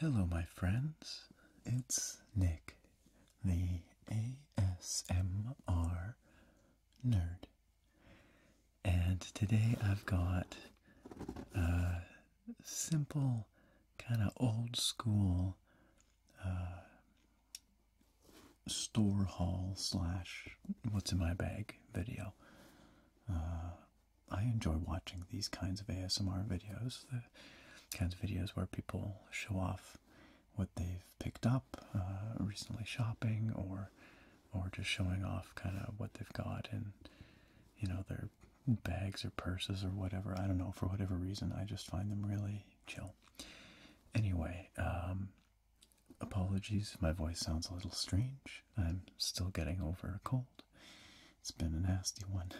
Hello, my friends. It's Nick, the ASMR nerd. And today I've got uh, simple, kind of old school uh, store haul slash what's in my bag video. Uh, I enjoy watching these kinds of ASMR videos, the kinds of videos where people show off what they've picked up uh, recently shopping or or just showing off kind of what they've got and you know their bags or purses or whatever. I don't know. For whatever reason, I just find them really chill. Anyway, um, apologies. My voice sounds a little strange. I'm still getting over a cold. It's been a nasty one.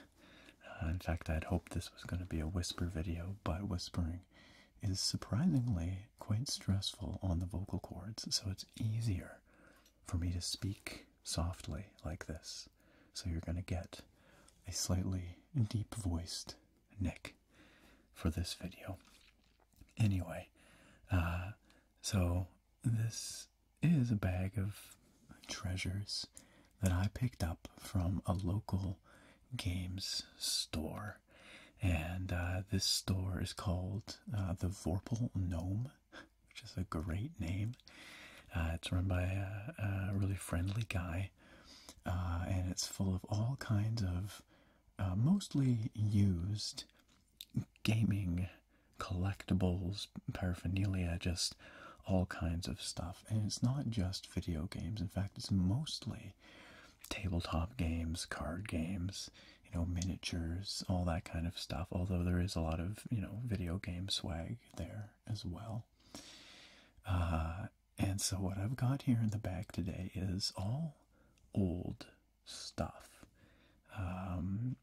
Uh, in fact, I'd hoped this was going to be a whisper video, but whispering is surprisingly quite stressful on the vocal cords, so it's easier for me to speak softly like this. So you're going to get a slightly deep voiced Nick for this video. Anyway, uh, so this is a bag of treasures that I picked up from a local games store. And uh, this store is called uh, the Vorpal Gnome which is a great name. Uh, it's run by a, really friendly guy, uh, and it's full of all kinds of uh, mostly used gaming collectibles, paraphernalia, just all kinds of stuff. And it's not just video games. In fact, it's mostly tabletop games, card games, you know, miniatures, all that kind of stuff. Although there is a lot of you know video game swag there as well. Uh, and so what I've got here in the back today is all old stuff. Um,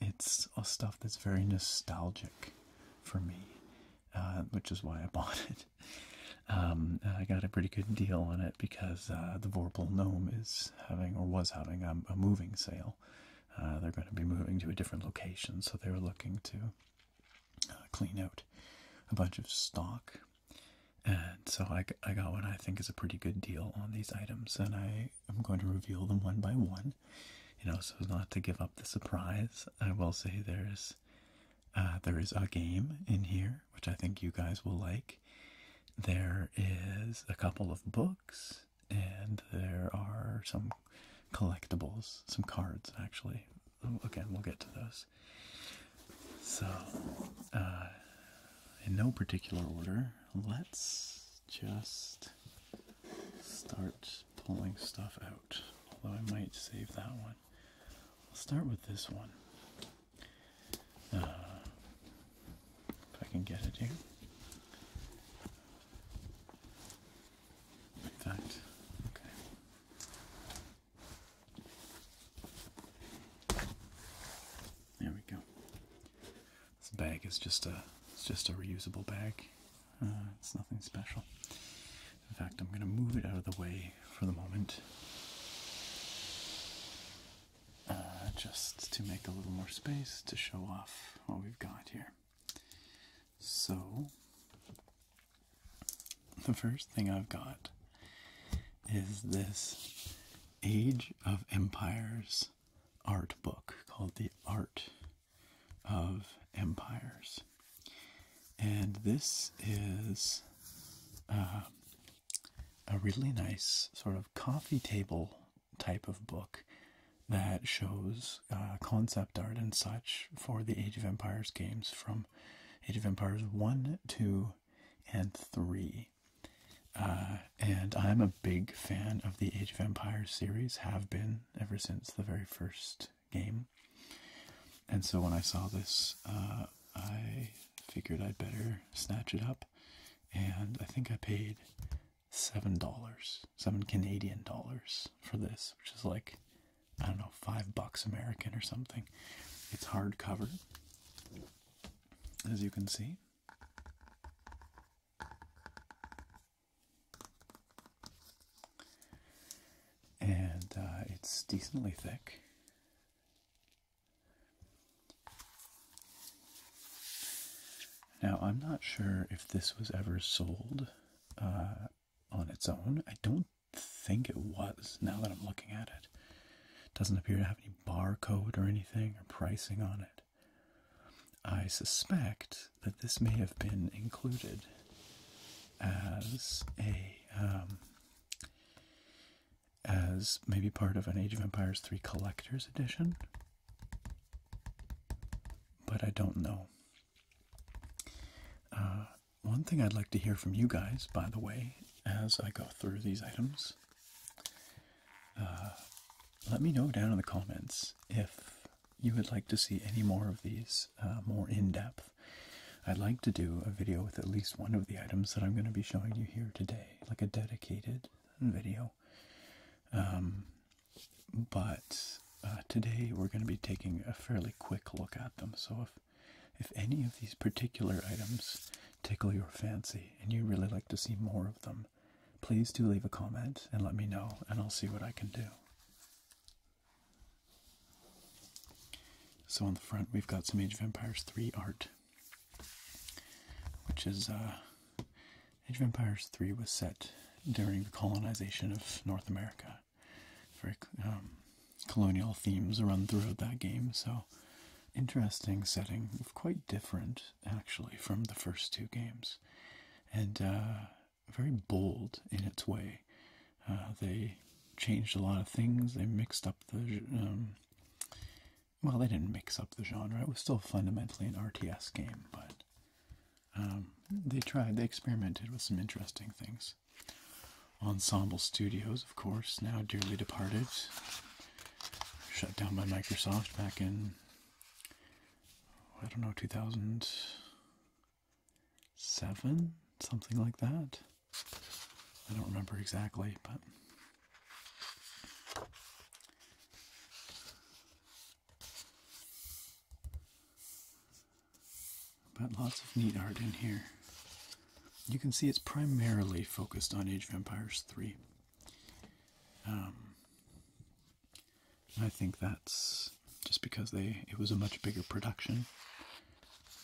it's a stuff that's very nostalgic for me, uh, which is why I bought it. Um, I got a pretty good deal on it because uh, the Vorpal Gnome is having or was having um, a moving sale. Uh, they're going to be moving to a different location, so they're looking to uh, clean out a bunch of stock. And so I, I got what I think is a pretty good deal on these items, and I am going to reveal them one by one, you know, so not to give up the surprise. I will say there's uh, there is a game in here, which I think you guys will like. There is a couple of books and there are some collectibles, some cards actually. Again, we'll get to those. So, uh, in no particular order, let's just start pulling stuff out. Although I might save that one. I'll start with this one. Uh, if I can get it here. In fact, okay. There we go. This bag is just a it's just a reusable bag. Uh, it's nothing special. In fact, I'm going to move it out of the way for the moment. Uh, just to make a little more space to show off what we've got here. So, the first thing I've got is this Age of Empires art book called The Art of Empires. And this is uh, a really nice sort of coffee table type of book that shows uh, concept art and such for the Age of Empires games from Age of Empires 1, 2, and 3. Uh, and I'm a big fan of the Age of Empires series, have been ever since the very first game. And so when I saw this, uh, I figured I'd better snatch it up. And I think I paid seven dollars, seven Canadian dollars for this, which is like I don't know, five bucks American or something. It's hardcover, as you can see. And uh, it's decently thick. Now, I'm not sure if this was ever sold uh, on its own. I don't think it was, now that I'm looking at it. doesn't appear to have any barcode or anything or pricing on it. I suspect that this may have been included as a um, as maybe part of an Age of Empires 3 collector's edition but I don't know. Uh, one thing I'd like to hear from you guys, by the way, as I go through these items, uh, let me know down in the comments if you would like to see any more of these uh, more in depth. I'd like to do a video with at least one of the items that I'm going to be showing you here today, like a dedicated video um, but uh, today we're going to be taking a fairly quick look at them. So if, if any of these particular items tickle your fancy and you really like to see more of them, please do leave a comment and let me know and I'll see what I can do. So on the front we've got some Age of Empires 3 art, which is uh, Age of Empires 3 was set during the colonization of North America. Very um, colonial themes run throughout that game, so interesting setting, quite different actually from the first two games, and uh, very bold in its way. Uh, they changed a lot of things, they mixed up the. Um, well, they didn't mix up the genre, it was still fundamentally an RTS game, but um, they tried, they experimented with some interesting things. Ensemble Studios, of course, now dearly departed, shut down by Microsoft back in, I don't know, 2007, something like that. I don't remember exactly, but. But lots of neat art in here. You can see it's primarily focused on Age of Empires 3. Um, I think that's just because they it was a much bigger production.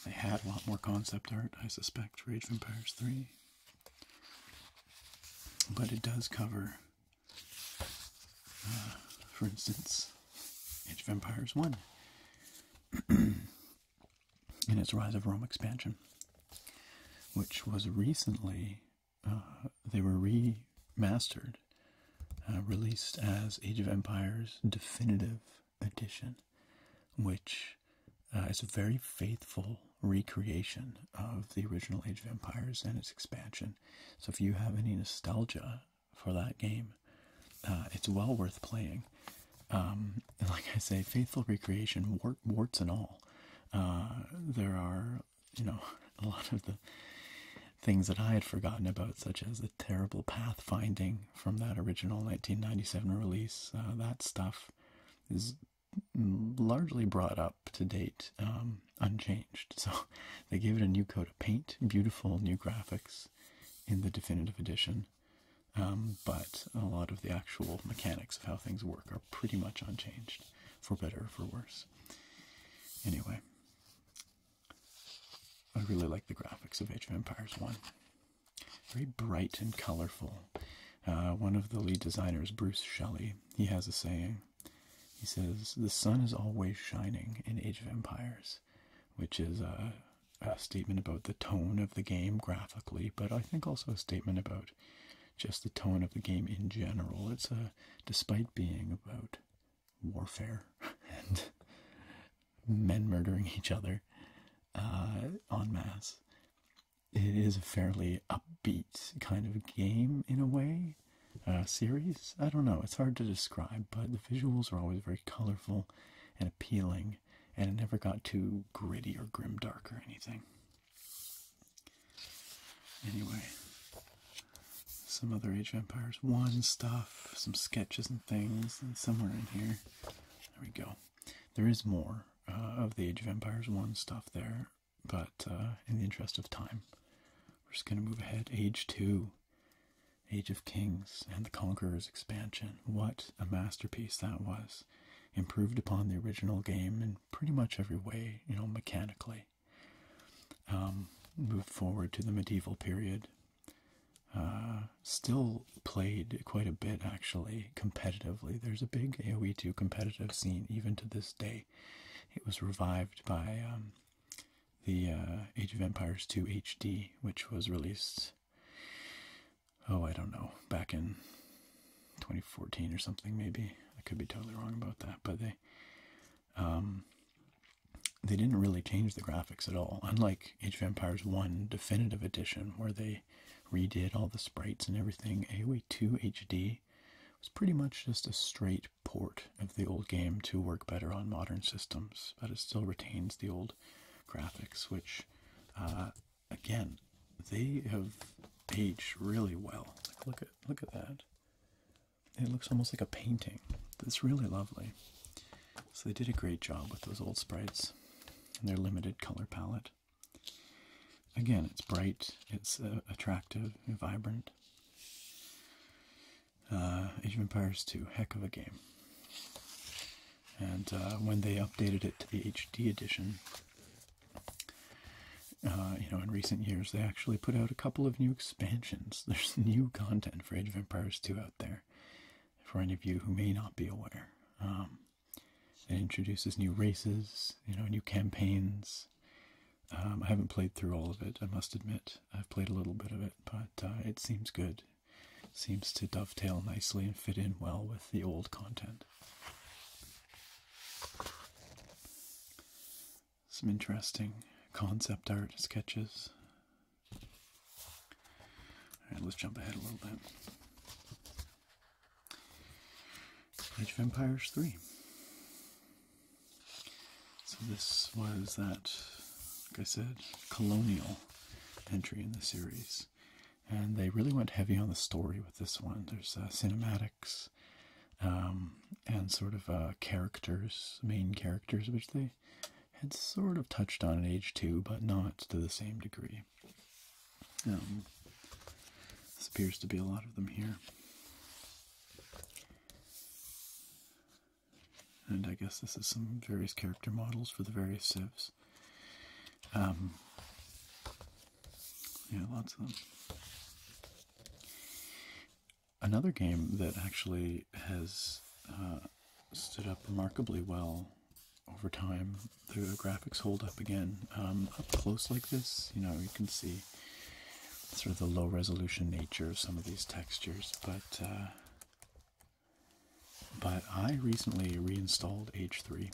They had a lot more concept art, I suspect, for Age of Empires 3. But it does cover for instance, Age of Empires 1 and its Rise of Rome expansion, which was recently, uh, they were remastered, uh, released as Age of Empires Definitive Edition, which uh, is a very faithful recreation of the original Age of Empires and its expansion so if you have any nostalgia for that game, uh, it's well worth playing. Um, like I say, faithful recreation, warts and all. Uh, there are, you know, a lot of the things that I had forgotten about, such as the terrible pathfinding from that original 1997 release. Uh, that stuff is largely brought up up to date, um, unchanged. So they gave it a new coat of paint, beautiful new graphics in the definitive edition. Um, but a lot of the actual mechanics of how things work are pretty much unchanged, for better or for worse. Anyway, I really like the graphics of Age of Empires 1. Very bright and colorful. Uh, one of the lead designers, Bruce Shelley, he has a saying he says, The sun is always shining in Age of Empires, which is a, statement about the tone of the game graphically, but I think also a statement about just the tone of the game in general. It's a, despite being about warfare and men murdering each other uh, en masse, it is a fairly upbeat kind of game in a way. Uh, series. I don't know, it's hard to describe, but the visuals are always very colorful and appealing, and it never got too gritty or grim, dark or anything. Anyway, some other Age of Empires 1 stuff, some sketches and things, and somewhere in here, there we go. There is more uh, of the Age of Empires 1 stuff there. But uh, in the interest of time, we're just going to move ahead. Age 2, Age of Kings, and the Conqueror's expansion. What a masterpiece that was! Improved upon the original game in pretty much every way, you know, mechanically. Um, moved forward to the medieval period. Uh, still played quite a bit actually competitively. There's a big AoE 2 competitive scene even to this day. It was revived by um, the uh, Age of Empires 2 HD, which was released, oh, I don't know, back in 2014 or something, maybe. I could be totally wrong about that, but they. Um, they didn't really change the graphics at all, unlike Age of Empires 1 Definitive Edition, where they redid all the sprites and everything. AOE 2 HD was pretty much just a straight port of the old game to work better on modern systems, but it still retains the old graphics, which, uh, again, they have aged really well. look at look at that. It looks almost like a painting. It's really lovely. So they did a great job with those old sprites and their limited color palette. Again, it's bright, it's uh, attractive, vibrant, uh, Age of Empires 2, heck of a game. And uh, when they updated it to the HD edition, uh, you know, in recent years, they actually put out a couple of new expansions. There's new content for Age of Empires 2 out there, for any of you who may not be aware. Um, it introduces new races, you know, new campaigns, um, I haven't played through all of it, I must admit. I've played a little bit of it, but uh, it seems good. Seems to dovetail nicely and fit in well with the old content. Some interesting concept art sketches. Alright, let's jump ahead a little bit. Age of Empires 3. So this was that, like I said, colonial entry in the series. And they really went heavy on the story with this one. There's uh, cinematics um, and sort of uh, characters, main characters, which they had sort of touched on in Age 2, but not to the same degree. Um, this appears to be a lot of them here. And I guess this is some various character models for the various sieves. Um, yeah, lots of them. Another game that actually has uh, stood up remarkably well over time. The graphics hold up again. Um, up close like this, you know, you can see sort of the low resolution nature of some of these textures, but uh, but I recently reinstalled H3,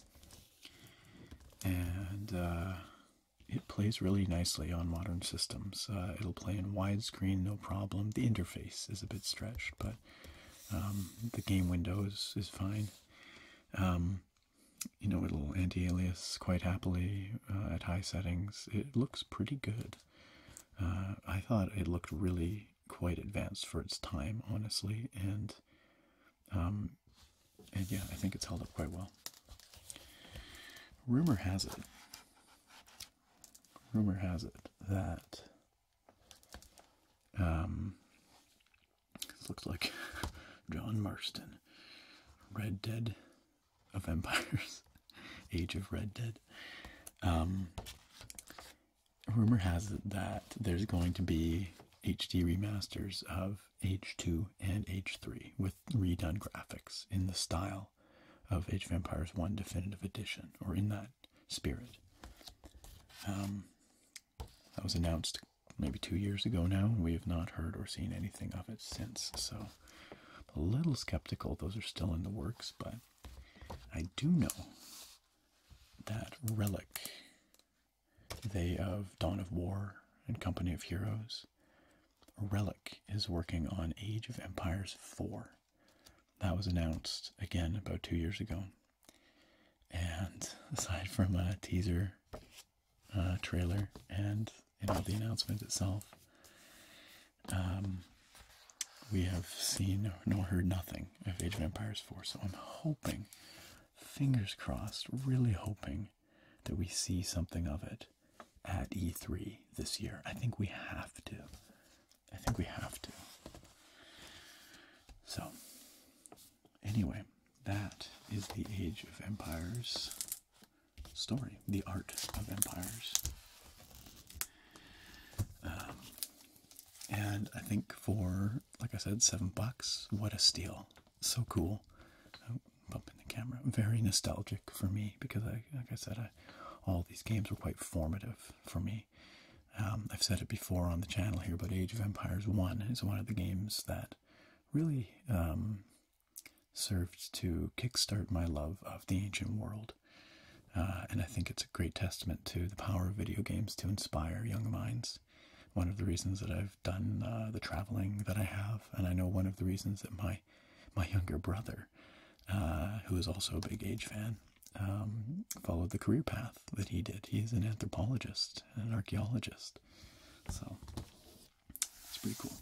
and uh, it plays really nicely on modern systems. Uh, it'll play in widescreen, no problem. The interface is a bit stretched, but um, the game window is, is fine. Um, you know, it'll anti-alias quite happily uh, at high settings, it looks pretty good. Uh, I thought it looked really quite advanced for its time, honestly, and um, and yeah, I think it's held up quite well. Rumor has it, rumor has it that um, this looks like John Marston, Red Dead of Empires, Age of Red Dead. Um, rumor has it that there's going to be HD remasters of H2 and H3 with redone graphics in the style of Age of Empires 1 Definitive Edition, or in that spirit. Um, that was announced maybe two years ago now, and we have not heard or seen anything of it since, so a little skeptical those are still in the works, but I do know that Relic, they of Dawn of War and Company of Heroes, Relic is working on Age of Empires 4. That was announced again about two years ago. And aside from a teaser, uh, trailer, and you know, the announcement itself. Um, we have seen nor heard nothing of Age of Empires 4, so I'm hoping, fingers crossed, really hoping that we see something of it at E3 this year. I think we have to. I think we have to. So, anyway, that is the Age of Empires story, The Art of Empires. Um, and I think for, like I said, seven bucks, what a steal. So cool. Oh, bumping the camera. Very nostalgic for me because, I, like I said, I, all these games were quite formative for me. Um, I've said it before on the channel here, but Age of Empires 1 is one of the games that really um, served to kickstart my love of the ancient world. Uh, and I think it's a great testament to the power of video games to inspire young minds. One of the reasons that I've done uh, the traveling that I have, and I know one of the reasons that my my younger brother, uh, who is also a big age fan, um, followed the career path that he did. He is an anthropologist, an archaeologist. So it's pretty cool.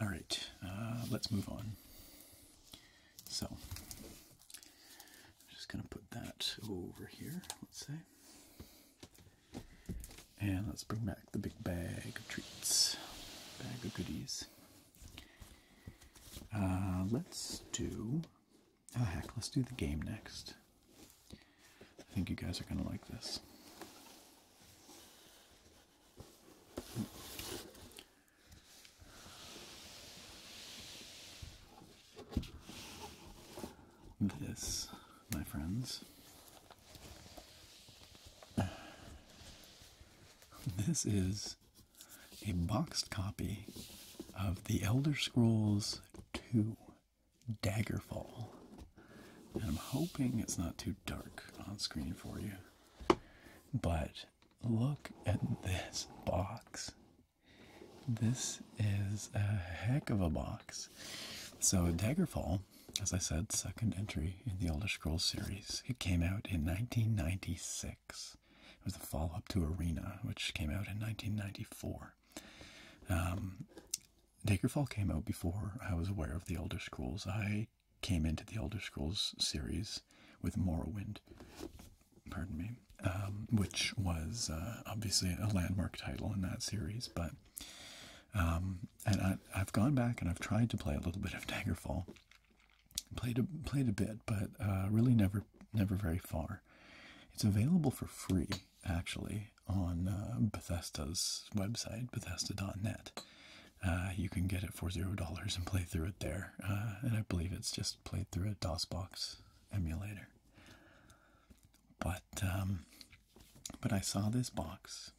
All right, uh, let's move on. So, I'm just going to put that over here, let's say. And let's bring back the big bag of treats, bag of goodies. Uh, let's do. Oh, heck, let's do the game next. I think you guys are going to like this. This, my friends, this is a boxed copy of The Elder Scrolls 2 Daggerfall. And I'm hoping it's not too dark on screen for you. But look at this box. This is a heck of a box. So, Daggerfall, as I said, second entry in the Elder Scrolls series, it came out in 1996. It was a follow up to Arena, which came out in 1994. Um, Daggerfall came out before I was aware of the Elder Scrolls. I came into the Elder Scrolls series with Morrowind, pardon me, um, which was uh, obviously a landmark title in that series. But um, and I, have gone back and I've tried to play a little bit of Daggerfall, played a, played a bit, but uh, really never never very far. It's available for free actually on uh, Bethesda's website, Bethesda.net. Uh, you can get it for zero dollars and play through it there. Uh, and I believe it's just played through a DOSBox emulator. But um, but I saw this box,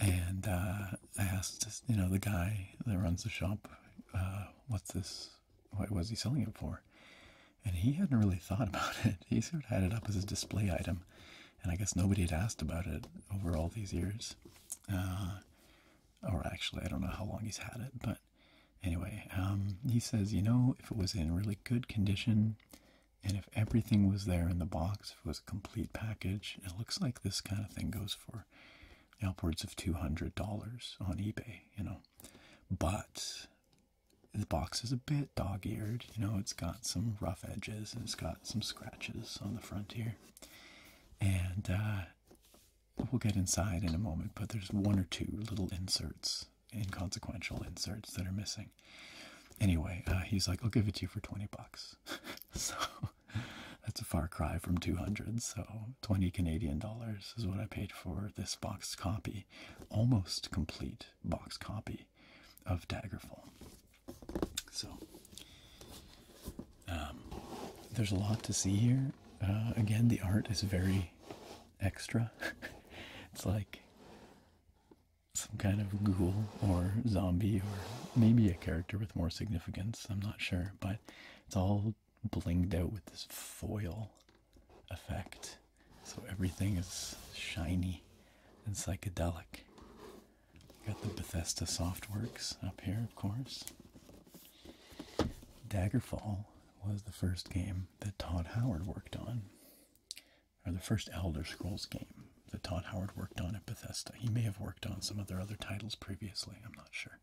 and uh, I asked you know the guy that runs the shop, uh, this? What was he selling it for? And he hadn't really thought about it. He sort of had it up as a display item and I guess nobody had asked about it over all these years. Uh, or actually, I don't know how long he's had it, but anyway, um, he says, you know, if it was in really good condition and if everything was there in the box, if it was a complete package, it looks like this kind of thing goes for upwards of $200 on eBay, you know. But the box is a bit dog eared, you know, it's got some rough edges and it's got some scratches on the front here. And uh, we'll get inside in a moment, but there's one or two little inserts, inconsequential inserts that are missing. Anyway, uh, he's like, I'll give it to you for 20 bucks. so that's a far cry from 200. So 20 Canadian dollars is what I paid for this boxed copy, almost complete boxed copy of Daggerfall. So um, there's a lot to see here. Uh, again, the art is very extra. it's like some kind of ghoul or zombie or maybe a character with more significance. I'm not sure, but it's all blinged out with this foil effect. So everything is shiny and psychedelic. Got the Bethesda Softworks up here, of course. Daggerfall was the first game that Todd Howard worked on, or the first Elder Scrolls game that Todd Howard worked on at Bethesda. He may have worked on some of other titles previously, I'm not sure.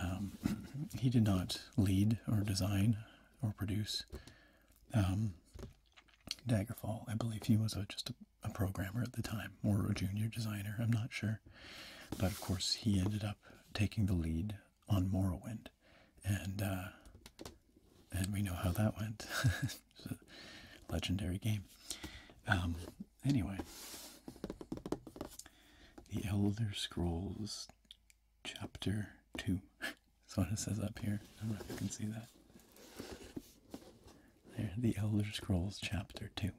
Um, he did not lead or design or produce um, Daggerfall. I believe he was just a a programmer at the time or a junior designer, I'm not sure. But of course, he ended up taking the lead on Morrowind, and uh, and we know how that went. legendary game. Um, anyway, The Elder Scrolls, Chapter Two. That's what it says up here. I don't know if you can see that. There, The Elder Scrolls, Chapter 2.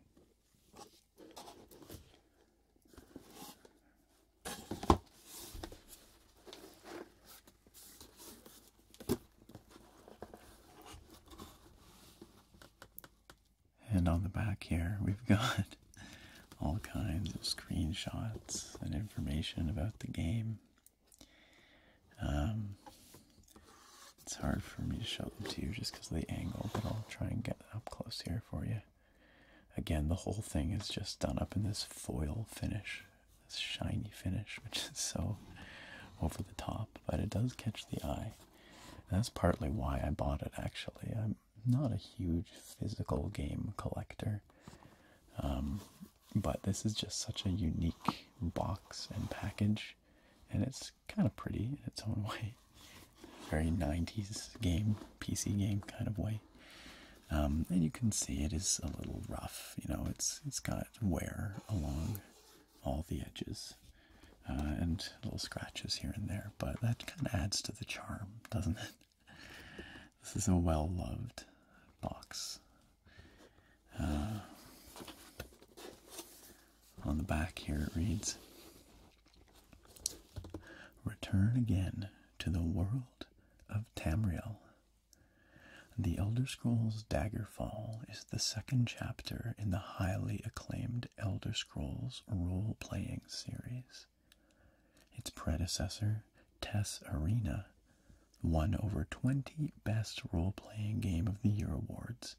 And on the back here, we've got all kinds of screenshots and information about the game um, it's hard for me to show them to you just because of the angle, but I'll try and get up close here for you. Again, the whole thing is just done up in this foil finish, this shiny finish, which is so over the top, but it does catch the eye. that's partly why I bought it, actually. I'm not a huge physical game collector, um, but this is just such a unique box and package and it's kind of pretty in its own way. Very 90s game, PC game kind of way. Um, and you can see it is a little rough. You know, it's it's got wear along all the edges uh, and little scratches here and there. But that kind of adds to the charm, doesn't it? This is a well-loved box uh, on the back here it reads Return again to the world of Tamriel. The Elder Scrolls Daggerfall is the second chapter in the highly acclaimed Elder Scrolls role playing series. Its predecessor, Tess Arena, won over 20 Best Role Playing Game of the Year awards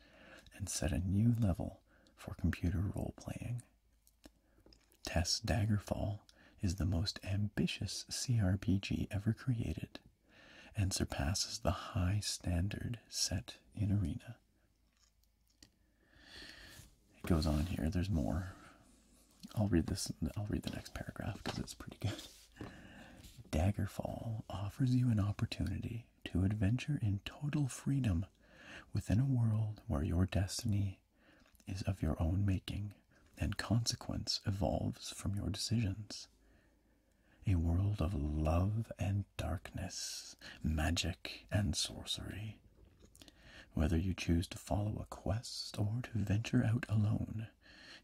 and set a new level for computer role playing. Tess Daggerfall is the most ambitious CRPG ever created and surpasses the high standard set in Arena. It goes on here, there's more. I'll read this I'll read the next paragraph because it's pretty good. Daggerfall offers you an opportunity to adventure in total freedom within a world where your destiny is of your own making and consequence evolves from your decisions. A world of love and darkness, magic and sorcery. Whether you choose to follow a quest or to venture out alone,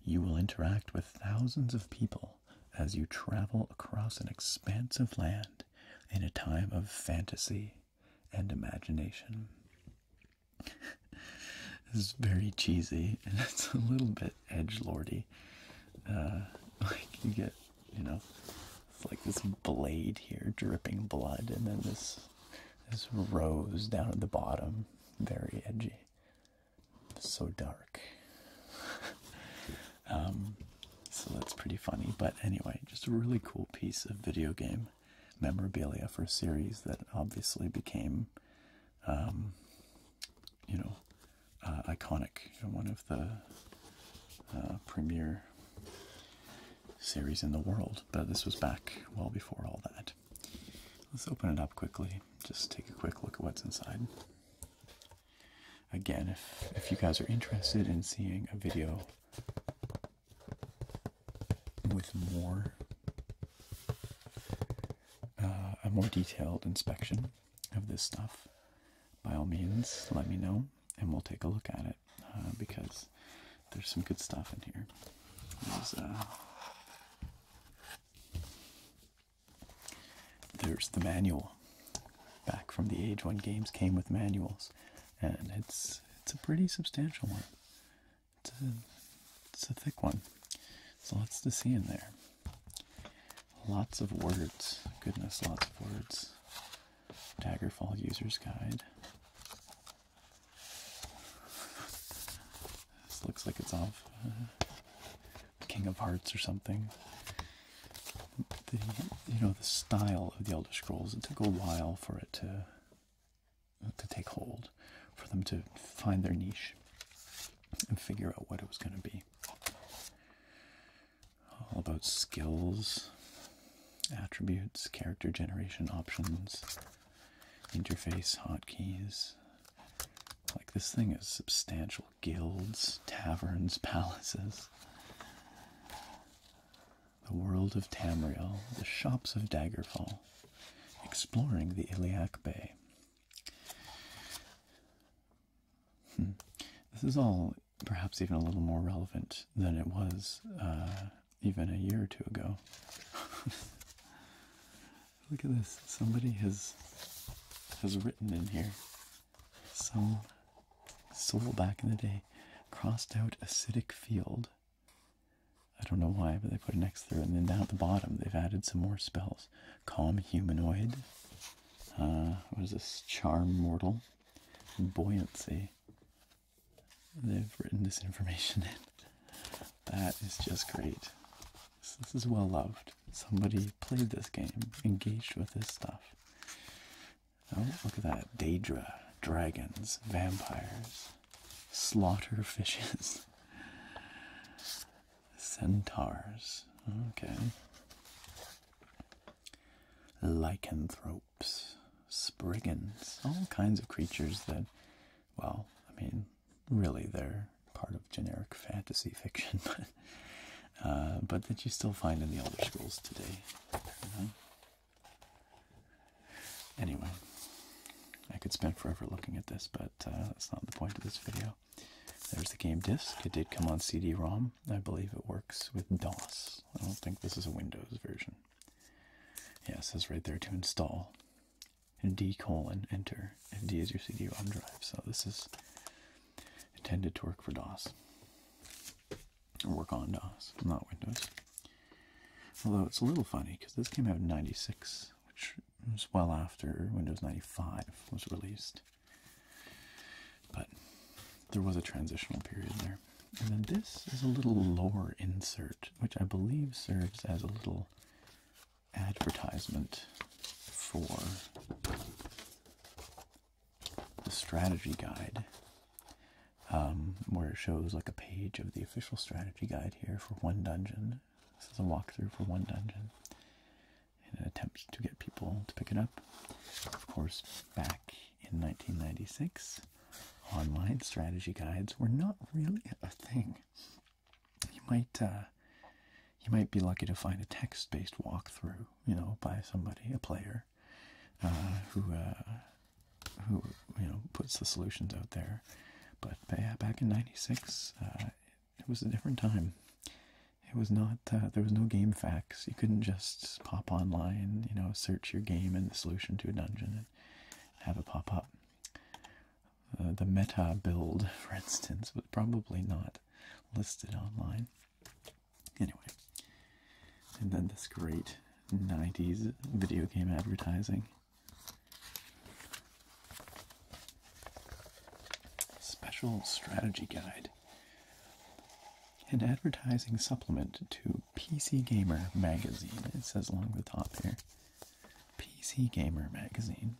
you will interact with thousands of people as you travel across an expanse of land in a time of fantasy and imagination. this is very cheesy and it's a little bit edge lordy. Uh, like you get, you know, it's like this blade here dripping blood, and then this this rose down at the bottom, very edgy so dark. Um, so that's pretty funny. But anyway, just a really cool piece of video game memorabilia for a series that obviously became, um, you know, uh, iconic one of the uh, premier series in the world. But this was back well before all that. Let's open it up quickly. Just take a quick look at what's inside. Again, if, if you guys are interested in seeing a video with more uh, a more detailed inspection of this stuff, by all means, let me know and we'll take a look at it uh, because there's some good stuff in here. There's the manual. Back from the age when games came with manuals, and it's it's a pretty substantial one. It's a, it's a thick one. So lots to see in there. Lots of words. Goodness, lots of words. Daggerfall User's Guide. looks like it's off uh, King of Hearts or something. The you know the style of the Elder Scrolls. It took a while for it to to take hold, for them to find their niche and figure out what it was going to be. All about skills, attributes, character generation options, interface hotkeys, like this thing is substantial guilds, taverns, palaces. The world of Tamriel, the shops of Daggerfall, exploring the Iliac Bay. Hmm. This is all perhaps even a little more relevant than it was uh, even a year or two ago. Look at this. Somebody has has written in here some soul back in the day crossed out acidic field. I don't know why, but they put an X through And then down at the bottom, they've added some more spells. Calm Humanoid. Uh, what is this? Charm Mortal. Buoyancy. They've written this information in. That is just great. this is well loved somebody played this game, engaged with this stuff. Oh, look at that. Daedra, dragons, vampires, slaughter fishes, centaurs. Okay. Lycanthropes, spriggans, all kinds of creatures that, well, I mean, really they're part of generic fantasy fiction, uh, but that you still find in the older schools today. Anyway, I could spend forever looking at this, but uh, that's not the point of this video. There's the game disc. It did come on CD-ROM. I believe it works with DOS. I don't think this is a Windows version. Yeah, it says right there to install. and D colon enter if D is your CD-ROM drive. So this is intended to work for DOS or work on DOS, not Windows. Although it's a little funny because this came out in 96, which was well after Windows 95 was released. But there was a transitional period there. And then this is a little lore insert, which I believe serves as a little advertisement for the strategy guide um, where it shows like a page of the official strategy guide here for one dungeon. This is a walkthrough for one dungeon in an attempt to get people to pick it up. Of course, back in 1996, online strategy guides were not really a thing. You might uh, you might be lucky to find a text-based walkthrough, you know, by somebody, a player, uh, who uh, who you know puts the solutions out there. But, yeah, back in '96, uh, it, was a different time. It was not there was no game facts. You couldn't just pop online, you know, search your game and the solution to a dungeon and have it pop up. the meta build, for instance, was probably not listed online. Anyway, and then this great 90s video game advertising. Special strategy guide. An advertising supplement to PC Gamer magazine. It says along the top here PC Gamer magazine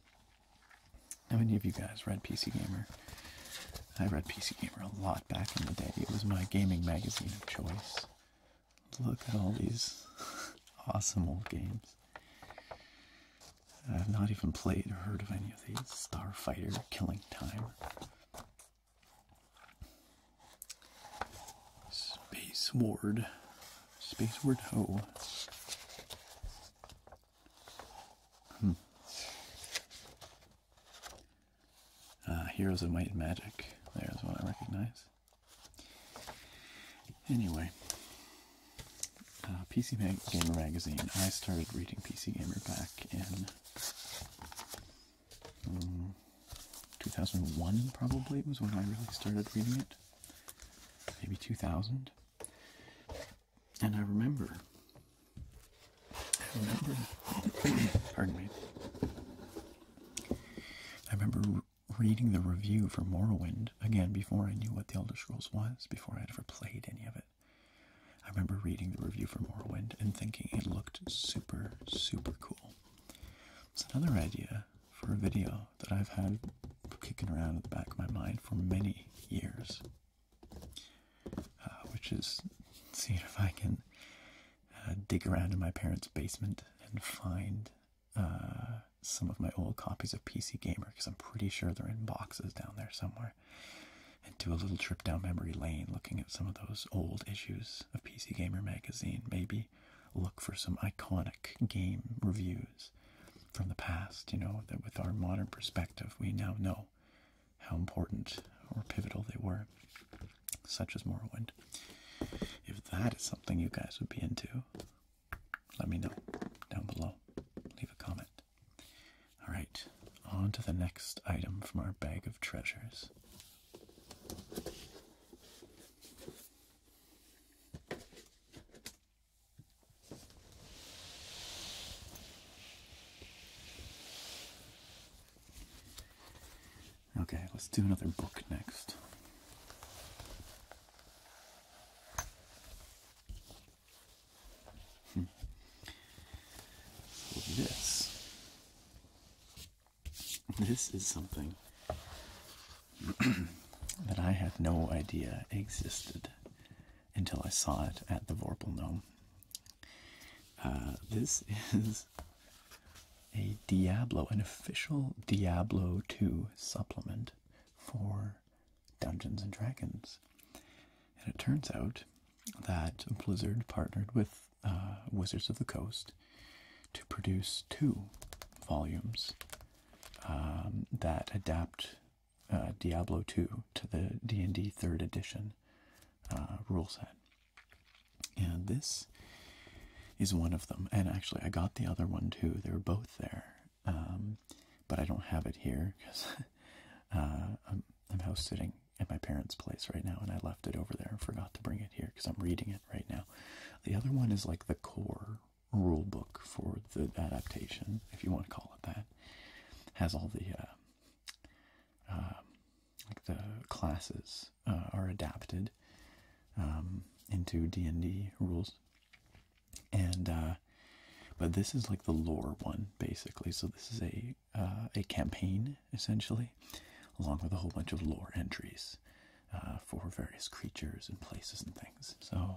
how many of you guys read PC Gamer? I read PC Gamer a lot back in the day. It was my gaming magazine of choice. Look at all these awesome old games. I've not even played or heard of any of these. Star Fighter, Killing Time. Space Ward. Space Ward Ho. Hmm. Uh, Heroes of Might and Magic. There's what I recognize. Anyway, uh, PC Mag Gamer Magazine. I started reading PC Gamer back in mm, 2001, probably, was when I really started reading it. Maybe 2000. And I remember, I remember, pardon me, I remember reading the review for Morrowind, again, before I knew what The Elder Scrolls was, before I had ever played any of it. I remember reading the review for Morrowind and thinking it looked super, super cool. It's another idea for a video that I've had kicking around in the back of my mind for many years. Uh, which is see if I can uh, dig around in my parents' basement and find uh, some of my old copies of PC Gamer because I'm pretty sure they're in boxes down there somewhere. And do a little trip down memory lane looking at some of those old issues of PC Gamer magazine. Maybe look for some iconic game reviews from the past, you know, that with our modern perspective, we now know how important or pivotal they were, such as Morrowind. If that is something you guys would be into, let me know down below. Leave a comment. All right, on to the next item from our bag of treasures. Okay, let's do another book next. Hmm. this, this is something that I had no idea existed until I saw it at the Vorpal Gnome. Uh, this is a Diablo, an official Diablo 2 supplement for Dungeons and Dragons. And it turns out that Blizzard partnered with uh, Wizards of the Coast to produce two volumes um, that adapt uh, Diablo 2 to the D&D 3rd edition uh, rule set. And this is one of them. And actually, I got the other one too. They're both there. Um, but I don't have it here because uh, I'm, I'm house sitting at my parents' place right now, and I left it over there and forgot to bring it here because I'm reading it right now. The other one is like the core rule book for the adaptation, if you want to call it that has all the uh, uh, like the classes uh, are adapted um, into D and D rules, and but this is like the lore one basically. So this is a a campaign essentially, along with a whole bunch of lore entries. for various creatures and places and things. So,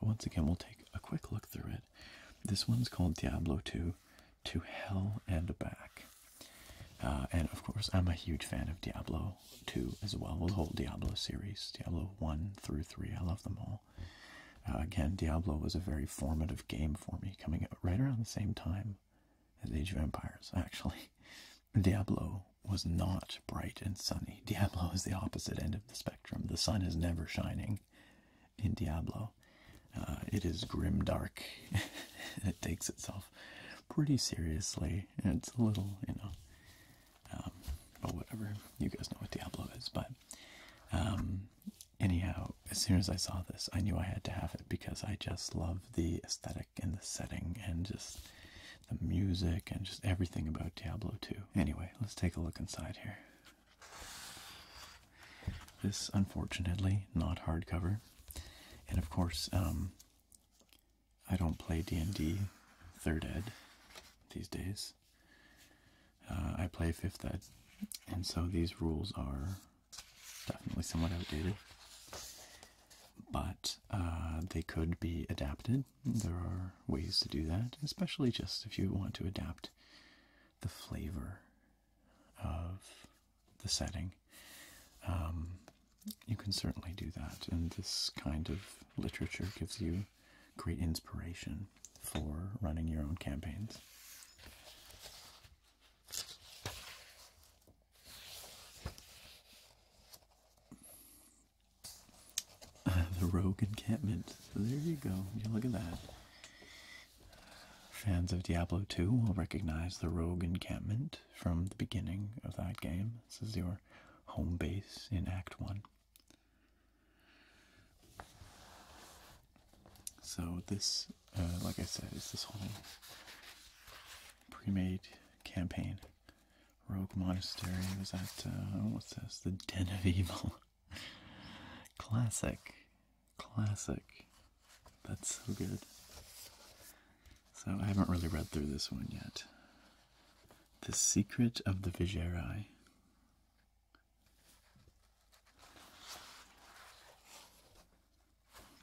once again, we'll take a quick look through it. This one's called Diablo 2 To Hell and Back. Uh, and of course, I'm a huge fan of Diablo 2 as well. Well, the whole Diablo series, Diablo 1 through 3, I love them all. Uh, again, Diablo was a very formative game for me, coming right around the same time as Age of Empires, actually. Diablo was not bright and sunny. Diablo is the opposite end of the spectrum. The sun is never shining in Diablo. Uh, it is grim dark. it takes itself pretty seriously. It's a little, you know, but um, whatever. You guys know what Diablo is, but um, anyhow, as soon as I saw this, I knew I had to have it because I just love the aesthetic and the setting and just the music and just everything about Diablo 2. Anyway, let's take a look inside here. This, unfortunately, not hardcover. And of course, um, I don't play D&D 3rd Ed these days. Uh, I play 5th Ed. And so these rules are definitely somewhat outdated. But uh, they could be adapted. There are ways to do that, especially just if you want to adapt the flavor of the setting. Um, you can certainly do that, and this kind of literature gives you great inspiration for running your own campaigns. the rogue encampment. There you go. look at that. Fans of Diablo 2 will recognize the rogue encampment from the beginning of that game. This is your home base in Act 1. So, this, uh, like I said, is this whole pre made campaign. Rogue Monastery was that uh, what's this? The Den of Evil. Classic. Classic. That's so good. So I haven't really read through this one yet. The Secret of the Vigeri.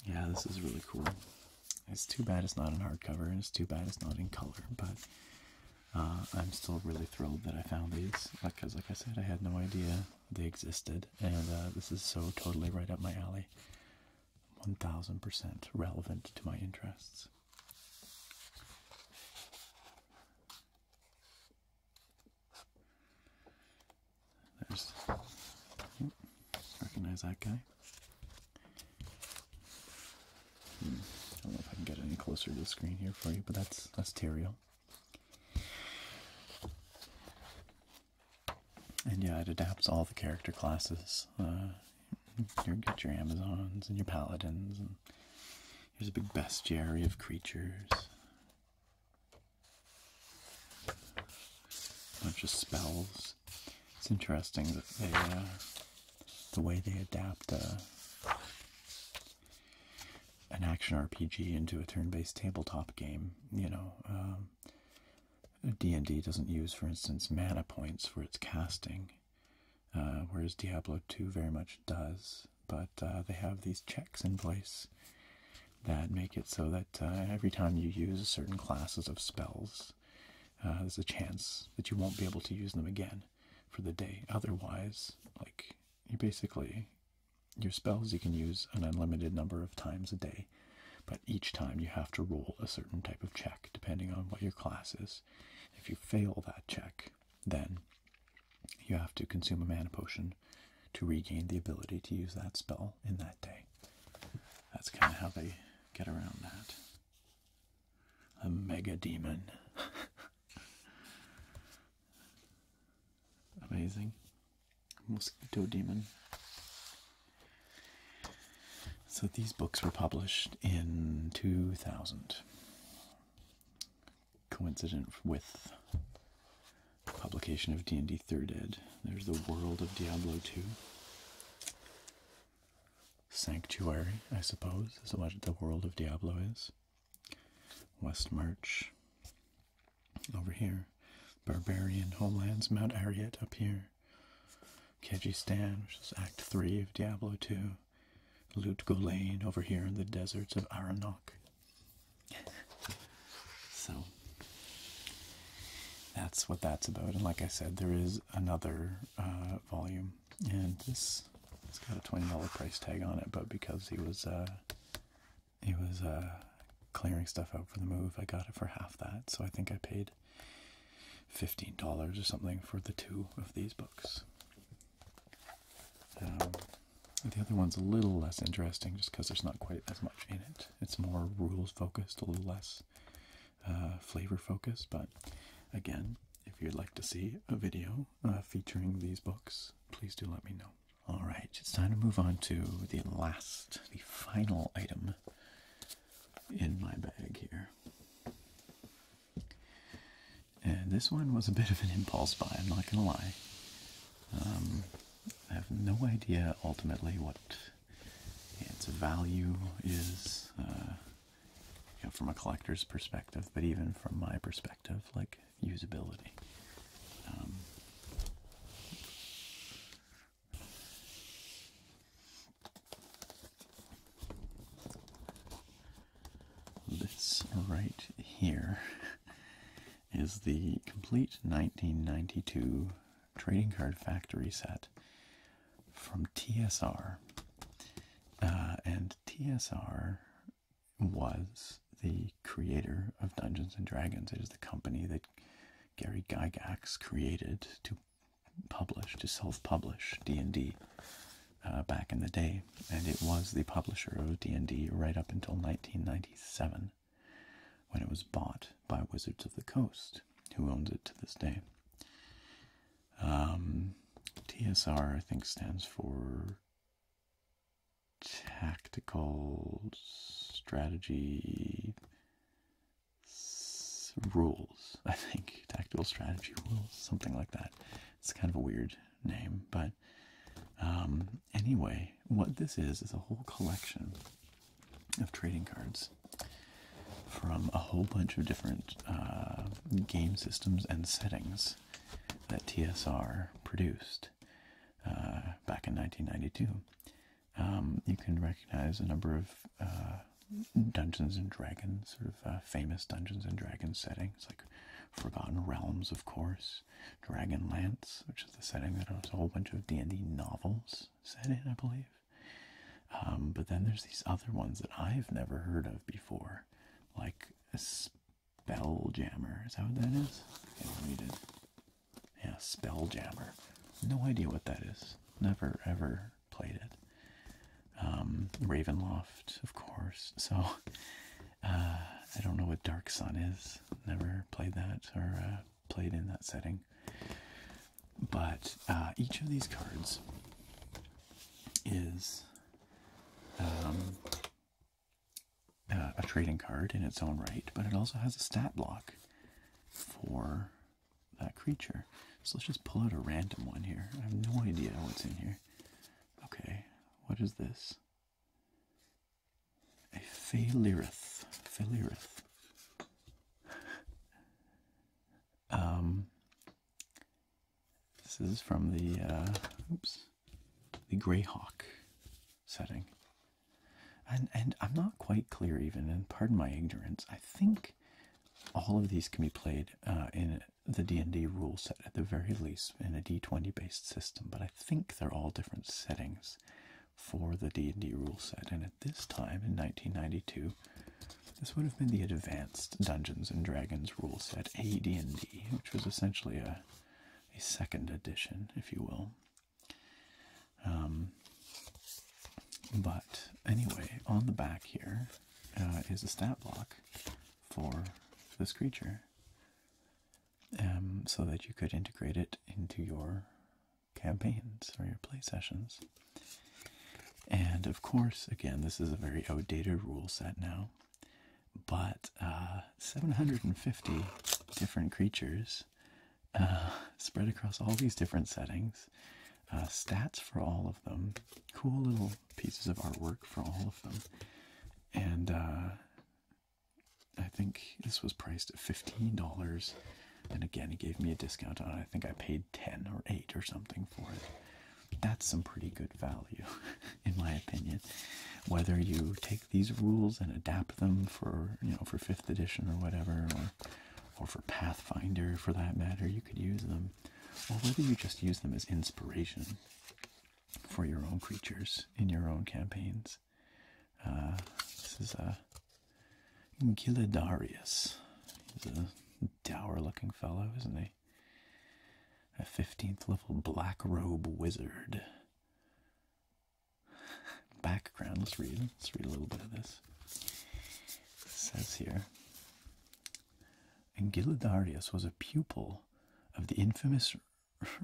Yeah, this is really cool. It's too bad it's not in hardcover, it's too bad it's not in color, but uh, I'm still really thrilled that I found these because, like I said, I had no idea they existed, and uh, this is so totally right up my alley. 1000% relevant to my interests. There's. recognize that guy. Hmm, I don't know if I can get any closer to the screen here for you, but that's that's Tyrael. And yeah, it adapts all the character classes. Uh, you get your Amazons and your Paladins, and here's a big bestiary of creatures. A bunch of spells. It's interesting that they, uh, the way they adapt uh, an action RPG into a turn-based tabletop game. You know, um, D and D doesn't use, for instance, mana points for its casting, uh, whereas Diablo Two very much does. But uh, they have these checks in place that make it so that uh, every time you use certain classes of spells, there's a chance that you won't be able to use them again for the day. Otherwise, like you basically your spells you can use an unlimited number of times a day, but each time you have to roll a certain type of check depending on what your class is. If you fail that check, then you have to consume a mana potion to regain the ability to use that spell in that day. That's kind of how they get around that. A mega demon. Amazing. Mosquito Demon. So these books were published in 2000. Coincident with publication of D&D 3rd Ed. There's The World of Diablo 2. Sanctuary, I suppose, is what The World of Diablo is. West March over here, Barbarian Homelands, Mount Ariat up here, Kyrgyzstan, which is Act 3 of Diablo 2, Lutgolane over here in the deserts of Aranok. so that's what that's about. And like I said, there is another uh, volume, and this it's got a twenty dollar price tag on it, but because he was uh, it was uh, clearing stuff out for the move. I got it for half that, so I think I paid fifteen dollars or something for the two of these books. Um, the other one's a little less interesting, just because there's not quite as much in it. It's more rules focused, a little less uh, flavor focused. But again, if you'd like to see a video uh, featuring these books, please do let me know. All right, it's time to move on to the last, the final item in my bag here. And this one was a bit of an impulse buy, I'm not gonna lie. Um, I have no idea ultimately what its value is uh, from a collector's perspective, but even from my perspective, like usability. Um, this right here is the complete 1992 Trading Card Factory set from TSR. Uh, and TSR was the creator of Dungeons and Dragons. It is the company that Gary Gygax created to publish, to self-publish D&D uh, back in the day, and it was the publisher of D&D right up until 1997, when it was bought by Wizards of the Coast, who owns it to this day. Um, TSR, I think, stands for tactical strategy rules, I think. Tactical strategy rules, something like that. It's kind of a weird name, but um, anyway, what this is is a whole collection of trading cards from a whole bunch of different uh, game systems and settings that TSR produced. Uh, back in 1992, um, you can recognize a number of uh, Dungeons and Dragons, sort of uh, famous Dungeons and Dragons settings, like Forgotten Realms, of course, Dragonlance, which is the setting that has a whole bunch of D&D novels set in, I believe. Um, but then there's these other ones that I've never heard of before, like jammer. Is that what that is? I can't read it. No idea what that is. Never ever played it. Um, Ravenloft, of course. So uh, I don't know what Dark Sun is. Never played that or uh, played in that setting. But uh, each of these cards is um, uh, a trading card in its own right, but it also has a stat block for that creature. So let's just pull out a random one here. I have no idea what's in here. Okay, what is this? A Phalirith. Phalirith. um, this is from the, uh, oops, the Greyhawk setting. And and I'm not quite clear even, and pardon my ignorance. I think all of these can be played uh, in the D&D rule set at the very least in a D20 based system, but I think they're all different settings for the D&D rule set. And at this time in 1992, this would have been the advanced Dungeons and Dragons rule set, AD&D, which was essentially a a second edition, if you will. Um, but anyway, on the back here uh, is a stat block for this creature, um, so that you could integrate it into your campaigns or your play sessions. And of course, again, this is a very outdated rule set now but uh, 750 different creatures uh, spread across all these different settings. Uh, stats for all of them, cool little pieces of artwork for all of them, and I think this was priced at fifteen dollars. And again, he gave me a discount on it. I think I paid ten or eight or something for it. That's some pretty good value. in my opinion. Whether you take these rules and adapt them for you know for fifth edition or whatever, or for Pathfinder for that matter, you could use them, or whether you just use them as inspiration for your own creatures in your own campaigns. Uh, this is a uh, Giladarius. He's a dour-looking fellow, isn't he? A 15th level black robe wizard background. Let's read. Let's read a little bit of this. says here and Angilodarius was a pupil of the infamous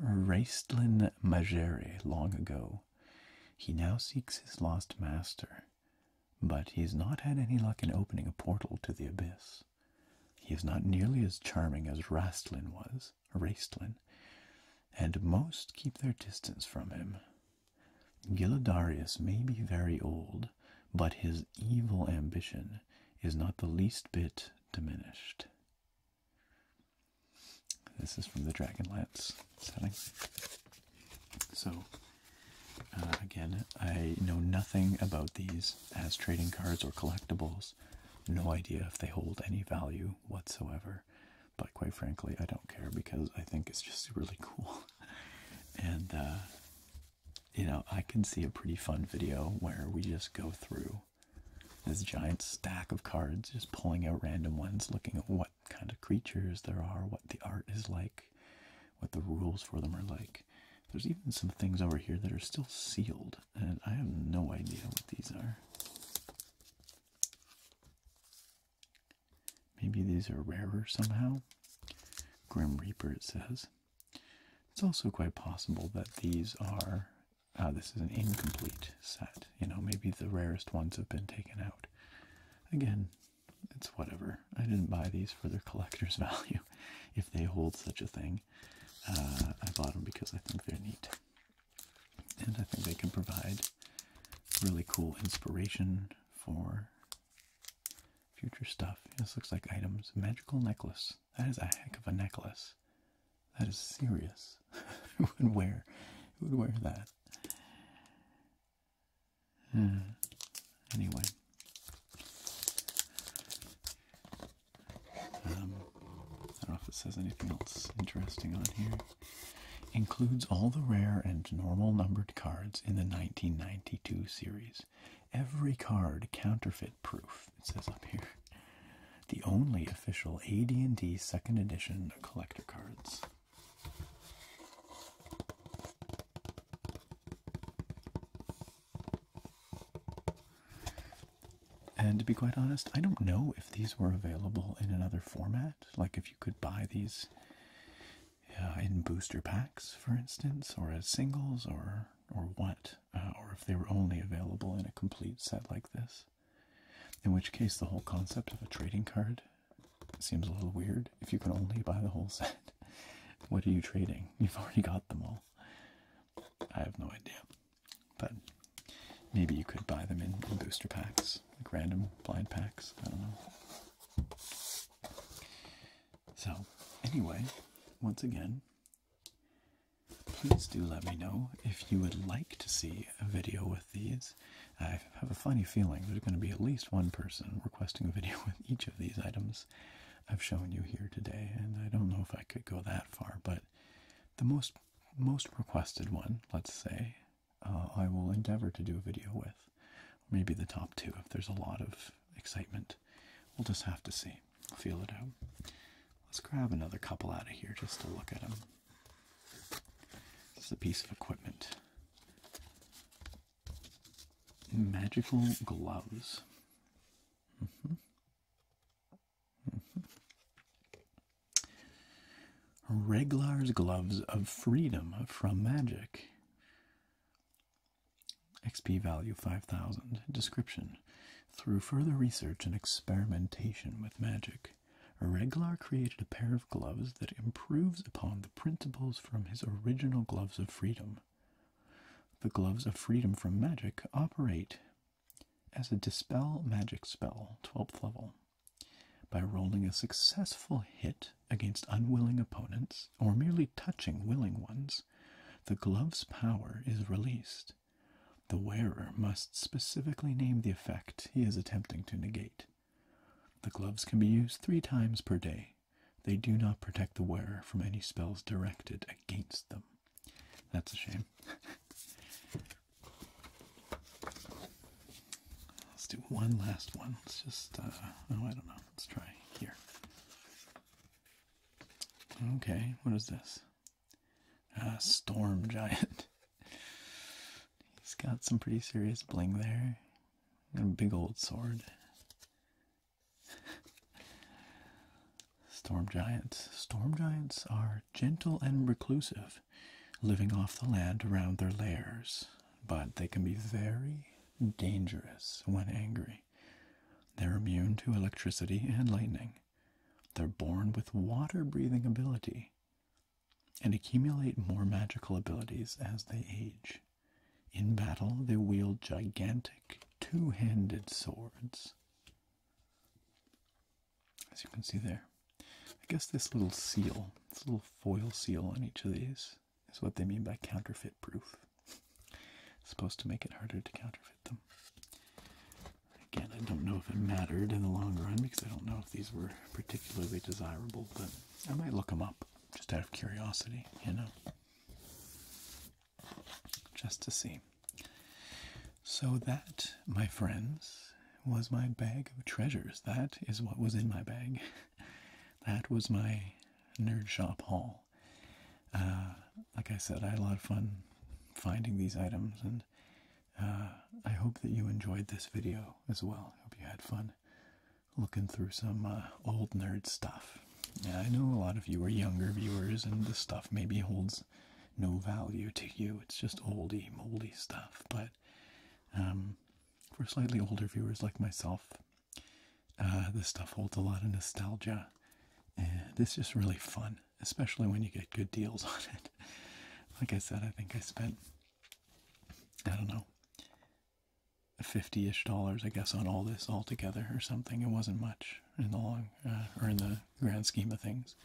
Raistlin Majere long ago. He now seeks his lost master, but he has not had any luck in opening a portal to the abyss. He is not nearly as charming as Rastlin was, is and most keep their distance from him. Gilodarius may be very old, but his evil ambition is not the least bit diminished. This is from the Dragonlance setting. So, uh, again, I know nothing about these as trading cards or collectibles. No idea if they hold any value whatsoever, but quite frankly, I don't care because I think it's just really cool. and, uh, you know, I can see a pretty fun video where we just go through this giant stack of cards, just pulling out random ones, looking at what kind of creatures there are, what the art is like, what the rules for them are like. There's even some things over here that are still sealed and I have no idea what these are. Maybe these are rarer somehow. Grim Reaper, it says. It's also quite possible that these are. Ah, this is an incomplete set. You know, maybe the rarest ones have been taken out. Again, it's whatever. I didn't buy these for their collector's value, if they hold such a thing. Uh, I bought them because I think they're neat. And I think they can provide really cool inspiration for future stuff. This looks like items. Magical necklace. That is a heck of a necklace. That is serious. who would wear? Who would wear that? Hmm. Anyway, um, I don't know if it says anything else interesting on here. Includes all the rare and normal numbered cards in the 1992 series. Every card counterfeit proof, it says up here. The only official AD&D second edition collector cards. And to be quite honest, I don't know if these were available in another format, like if you could buy these uh, in booster packs, for instance, or as singles, or or what, uh, or if they were only available in a complete set like this. In which case, the whole concept of a trading card seems a little weird. If you can only buy the whole set, what are you trading? You've already got them all. I have no idea. But maybe you could buy them in, booster packs, like random blind packs. I don't know. So, anyway, once again, please do let me know if you would like to see a video with these. I have a funny feeling there's going to be at least one person requesting a video with each of these items I've shown you here today, and I don't know if I could go that far, but the most most requested one, let's say, uh, I will endeavor to do a video with. Maybe the top two if there's a lot of excitement. We'll just have to see. Feel it out. Let's grab another couple out of here just to look at them. This is a piece of equipment. Magical gloves. Mm-hmm. Reglar's Gloves of Freedom from Magic. XP value 5000. Description. Through further research and experimentation with magic, Reglar created a pair of gloves that improves upon the principles from his original Gloves of Freedom. The Gloves of Freedom from Magic operate as a Dispel Magic spell, 12th level. By rolling a successful hit against unwilling opponents, or merely touching willing ones, the glove's power is released. The wearer must specifically name the effect he is attempting to negate. The gloves can be used three times per day. They do not protect the wearer from any spells directed against them. That's a shame. Let's do one last one. Let's just, uh, oh, I don't know. Let's try here. Okay, what is this? Storm Giant. He's got some pretty serious bling there. And a big old sword. Storm giants. Storm giants are gentle and reclusive, living off the land around their lairs, but they can be very dangerous when angry. They're immune to electricity and lightning. They're born with water breathing ability and accumulate more magical abilities as they age. In battle, they wield gigantic two handed swords as you can see there. I guess this little seal, this little foil seal on each of these, is what they mean by counterfeit proof. supposed to make it harder to counterfeit them. Again, I don't know if it mattered in the long run because I don't know if these were particularly desirable, but I might look them up just out of curiosity, you know? Just to see. So, that, my friends, was my bag of treasures. That is what was in my bag. that was my nerd shop haul. Uh, like I said, I had a lot of fun finding these items, and uh, I hope that you enjoyed this video as well. I hope you had fun looking through some uh, old nerd stuff. I know a lot of you are younger viewers, and the stuff maybe holds no value to you. It's just oldy, moldy stuff. But um, for slightly older viewers like myself, uh, this stuff holds a lot of nostalgia. And it's just really fun, especially when you get good deals on it. Like I said, I think I spent, I don't know, 50 ish dollars, I guess, on all this altogether or something. It wasn't much in the long, uh, or in the grand scheme of things.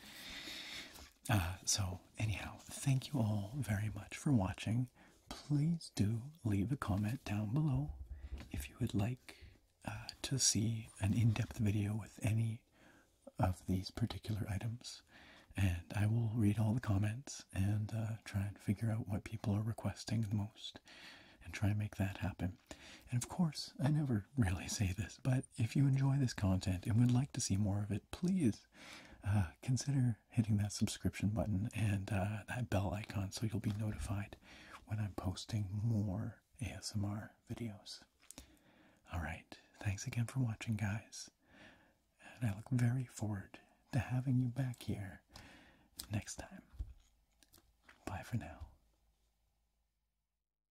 Uh, so, anyhow, thank you all very much for watching. Please do leave a comment down below if you would like uh, to see an in depth video with any of these particular items. And I will read all the comments and uh, try and figure out what people are requesting most and try and make that happen. And of course, I never really say this, but if you enjoy this content and would like to see more of it, please uh, consider hitting that subscription button and uh, that bell icon so you'll be notified when I'm posting more ASMR videos. All right, thanks again for watching, guys. And I look very forward to having you back here next time. Bye for now.